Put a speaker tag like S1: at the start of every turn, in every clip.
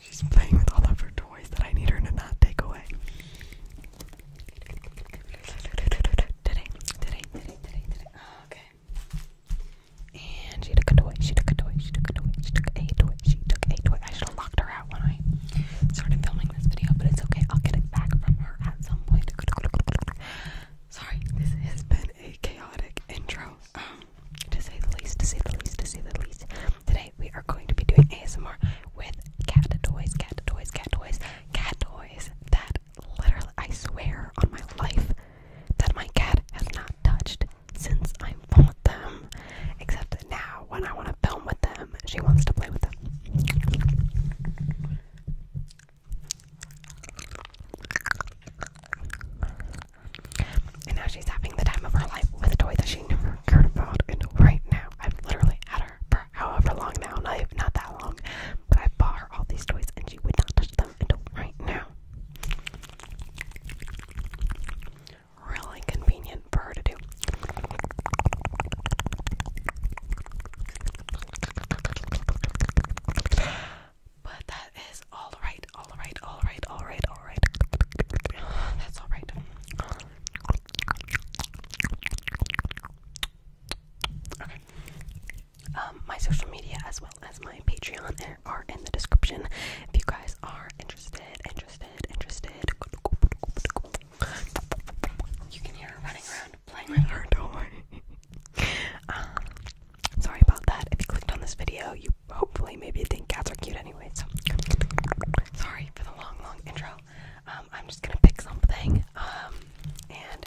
S1: She's playing with all of her toys that I need her to not take away. Today, today, today, today, today. okay. And she took a toy, she took a toy, she took a toy, she took a toy, she took a toy. I should have locked her out when I started filming this video, but it's okay. I'll get it back from her at some point. Sorry, this has been a chaotic intro, um, to say the least, to say the least, to say the least. Today we are going to be doing ASMR with cat toys, cat toys, cat toys, cat toys that literally, I swear on my life that my cat has not touched since I am with them. Except that now, when I want to film with them, she wants to play with them. And now she's having the time of her life with a toy that she never cared about. And right now, i am literally at her for however long now, not, not that long, but I bought her all these toys and she would not touch them until right now really convenient for her to do. But that is all right, all right, all right, all right, all right. That's all right. Um, my social media as well as my Patreon are in the description if you guys are interested, interested, interested, You can hear her running around playing with her toy. Um, sorry about that. If you clicked on this video, you hopefully maybe think cats are cute anyway. So sorry for the long, long intro. Um, I'm just gonna pick something. Um, and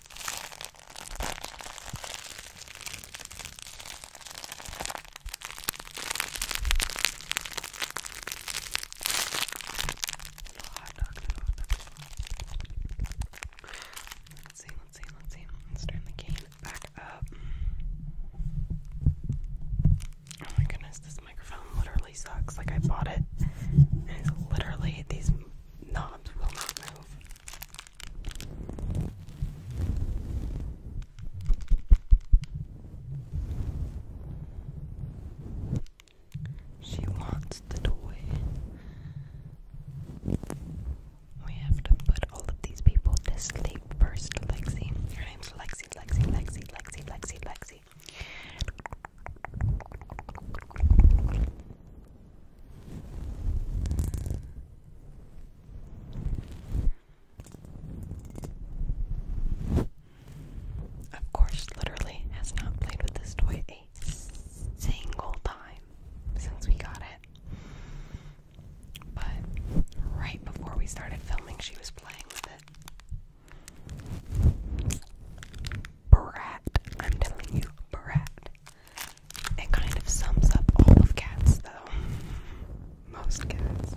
S1: Let's see, let's see, let's see. Let's turn the cane back up. Oh my goodness, this microphone literally sucks. Like I bought it it's literally these knobs will not move. She wants the toy. We have to put all of these people to sleep first, Lexi. Her name's Lexi, Lexi, Lexi, Lexi, Lexi, Lexi. Of course, literally has not played with this toy a single time since we got it. But right before we started filming, she was playing with it brat. I'm telling you, brat. It kind of sums up all of cats, though. Most cats.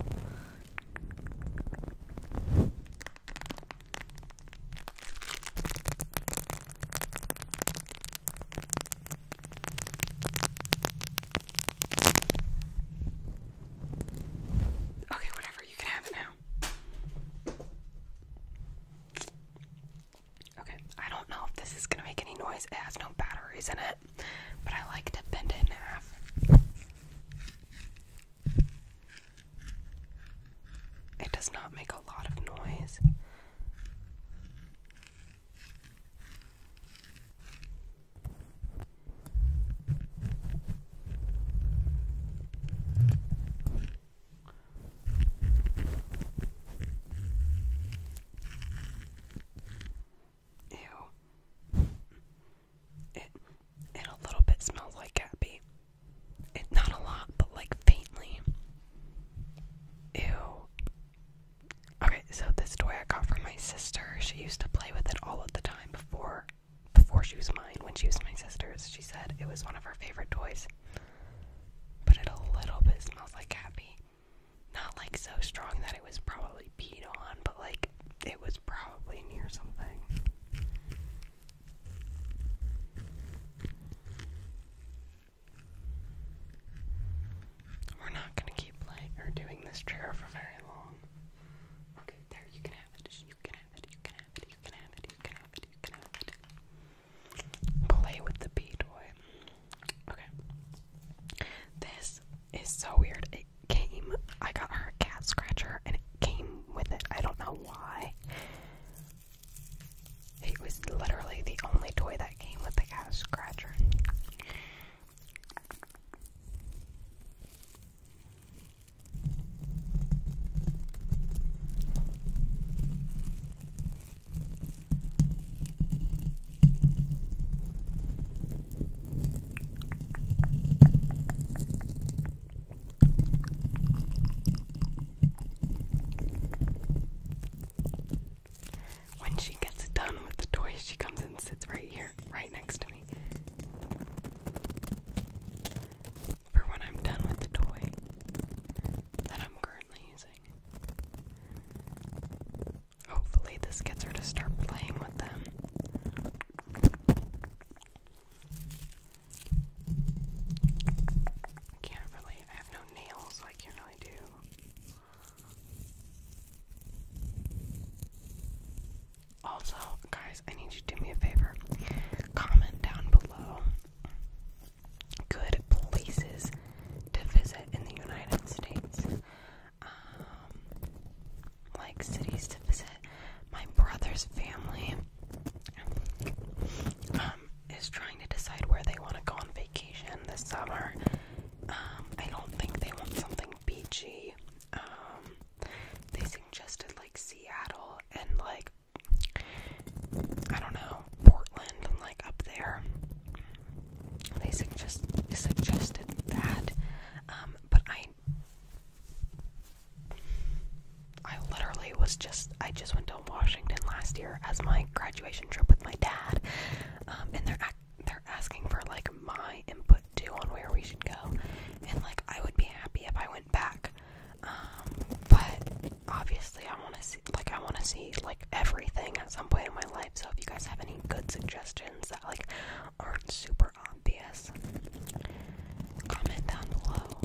S1: Okay, whatever, you can have it now. Okay, I don't know if this is gonna make any noise. It has no batteries in it, but I like to bend it in half. It does not make a lot of noise. Ew. It it a little bit smells like cat pee. It not a lot, but like faintly. Ew. Okay, so this toy I got from my sister. She used to play with it all of the time before before she was mine. When she was my sister's, she said it was one of her favorite toys. But it a little bit smells like cat Not like so strong that it was probably peed on, but like it was probably near something. We're not gonna keep playing or doing this trigger for very long. Okay, there you can have it. You can have it. You can have it. You can have it. You can have it. Play with the bee toy. Okay. This is so weird. It came, I got her cat scratcher and it came with it. I don't know why. It was literally the only toy that came with the cat scratcher. When she gets done with the toys, she comes and sits right here, right next to me for when I'm done with the toy that I'm currently using. Hopefully, this gets her to start playing with them. I can't really, I have no nails, I can't really do. Also, guys, I need you to do me a favor. Comment down below good places to visit in the United States. Um, like cities to visit. My brother's family um, is trying to decide where they want to go on vacation this summer. Um, I don't think they want something beachy. they suggested like Seattle and like I don't know, Portland, like up there. They suggest they suggested that, um, but I, I literally was just I just went to Washington last year as my graduation trip with my dad, um, and they're they're asking for like my input too on where we should go, and like I would be happy if I went back um, but obviously, I want to see like I want to see like everything at some point in my life. So if you guys have any good suggestions that like aren't super obvious, comment down below.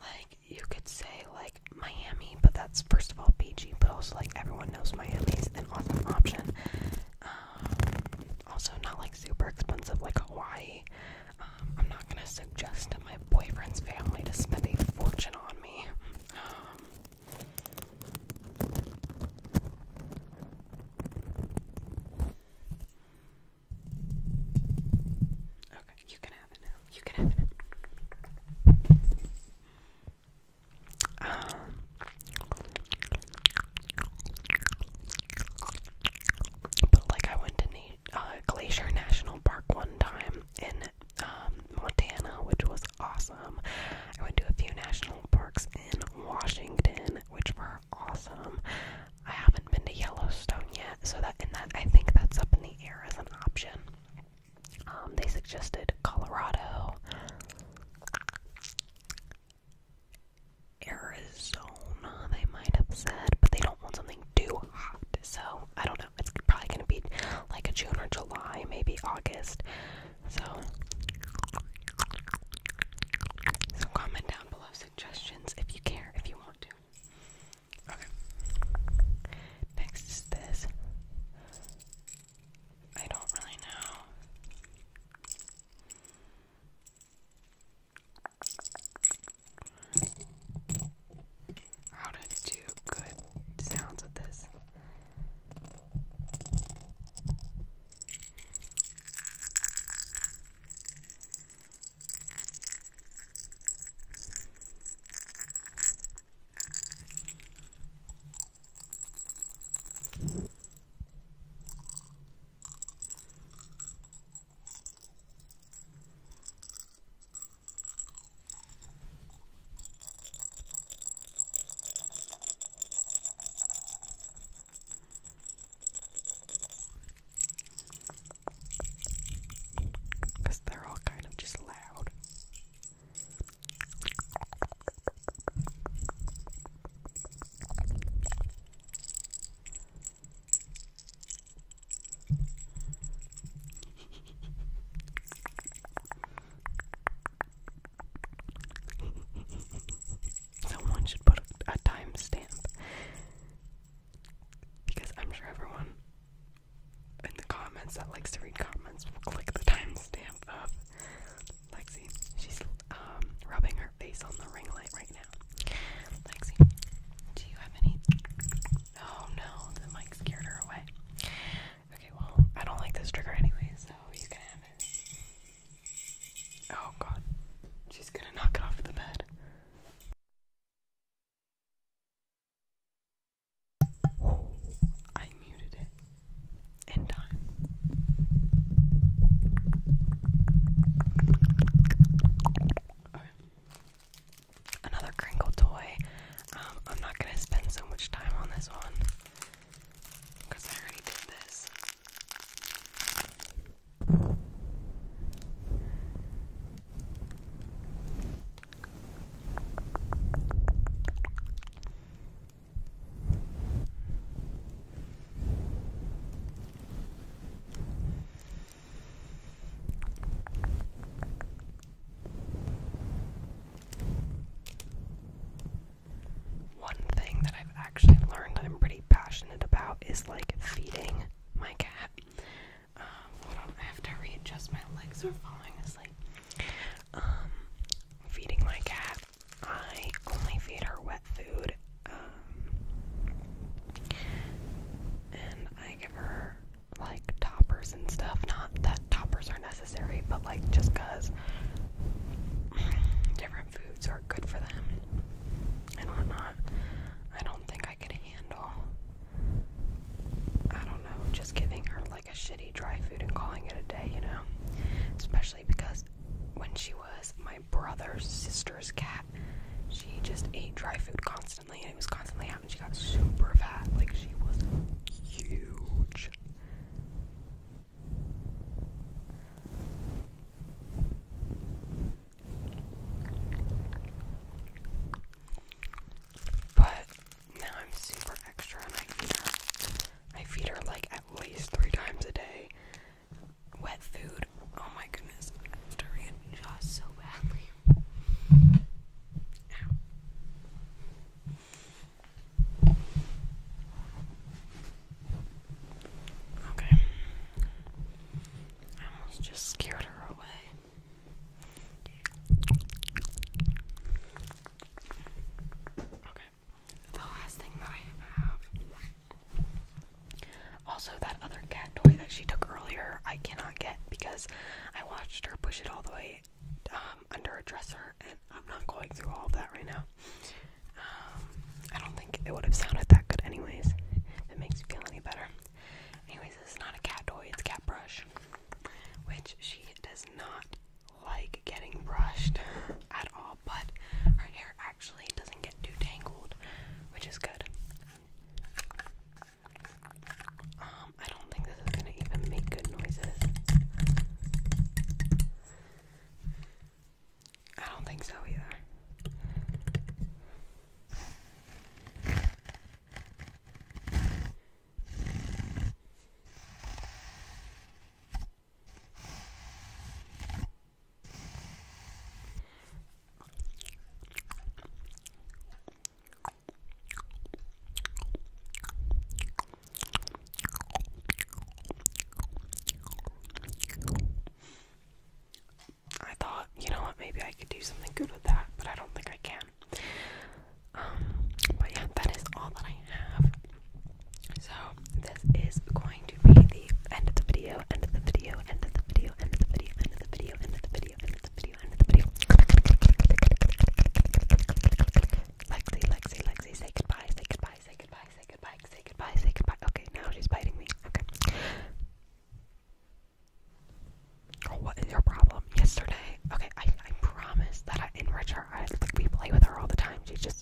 S1: Like you could say like Miami, but that's first of all beachy, but also like everyone knows Miami is an awesome option. Um, also not like super expensive like Hawaii. Um, I'm not gonna suggest that my boyfriend's family to spend a fortune on me. Um, okay, you can have it now. You can have it. Um, but like, I went to Na uh, Glacier National Park one time in um, Montana, which was awesome. I went to a few national parks in Washington, which were awesome. I haven't been to Yellowstone yet, so that and that I think that's up in the air as an option. Um, they suggested Colorado. Arizona, they might have said, but they don't want something too hot. So, I don't know. It's probably going to be like a June or July, maybe August. So, so comment down below suggestions if you care, if you want to. Okay. Next is this. I don't really know. How to do good sounds with this. Because they're all kind of just loud. Someone should put a, timestamp because I'm sure everyone in the comments that likes to read comments will click the timestamp of Lexi. She's um, rubbing her face on the ring light right now. Lexi, do you have any? Oh no, the mic scared her away. Okay, well, I don't like this trigger anyway, so you can have it. Oh god, she's gonna knock it off the bed. I muted it in time. Okay. Another Kringle toy. Um, I'm not gonna spend so much time on this one because I already did this. Okay. One thing that I've actually learned that I'm pretty passionate about is like feeding my cat. Um, hold on, have to readjust my legs are falling asleep. Um, feeding my cat I only feed her wet food, um, and I give her like toppers and stuff. Not that toppers are necessary, but like just because different foods are good for them and whatnot. I don't think I can handle. I don't know, just giving her like a shitty dry food and calling it a day, you know? Especially because when she was my brother's sister's cat. She just ate dry food constantly, and it was constantly happening. She got super fat, like she was huge. But now I'm super extra, and I feed her. I feed her like at least three times a day, wet food. Oh my goodness, I'm starting to jaw so badly. Okay. I almost just scared her away. Okay the last thing that I have. Also, that other cat toy that she took earlier, I cannot get because I watched her push it all the way um, under a dresser, and I'm not going through all of that right now. Um, I don't think it would have sounded that good, anyways. it makes you feel any better. Anyways, this is not a cat toy; it's cat brush, which she does not like getting brushed at all but our hair actually doesn't get too tangled, which is good. Um, I don't think this is gonna even make good noises. I don't think so either. I thought, you know what, maybe I could do something good with that, but I don't think I can. Um, but yeah, that is all that I have. So this is going to be the end of the video, end of the video, end of the video, end of the video, end of the video, end of the video, end of the video, end of the video. Lexi, Lexi, Lexi, say goodbye, say goodbye, say goodbye, say goodbye, say goodbye, say goodbye. Okay, now she's biting me. Okay. Oh, what is your problem? Yesterday, okay, I I promise that I enrich her. I like we play with her all the time. She's just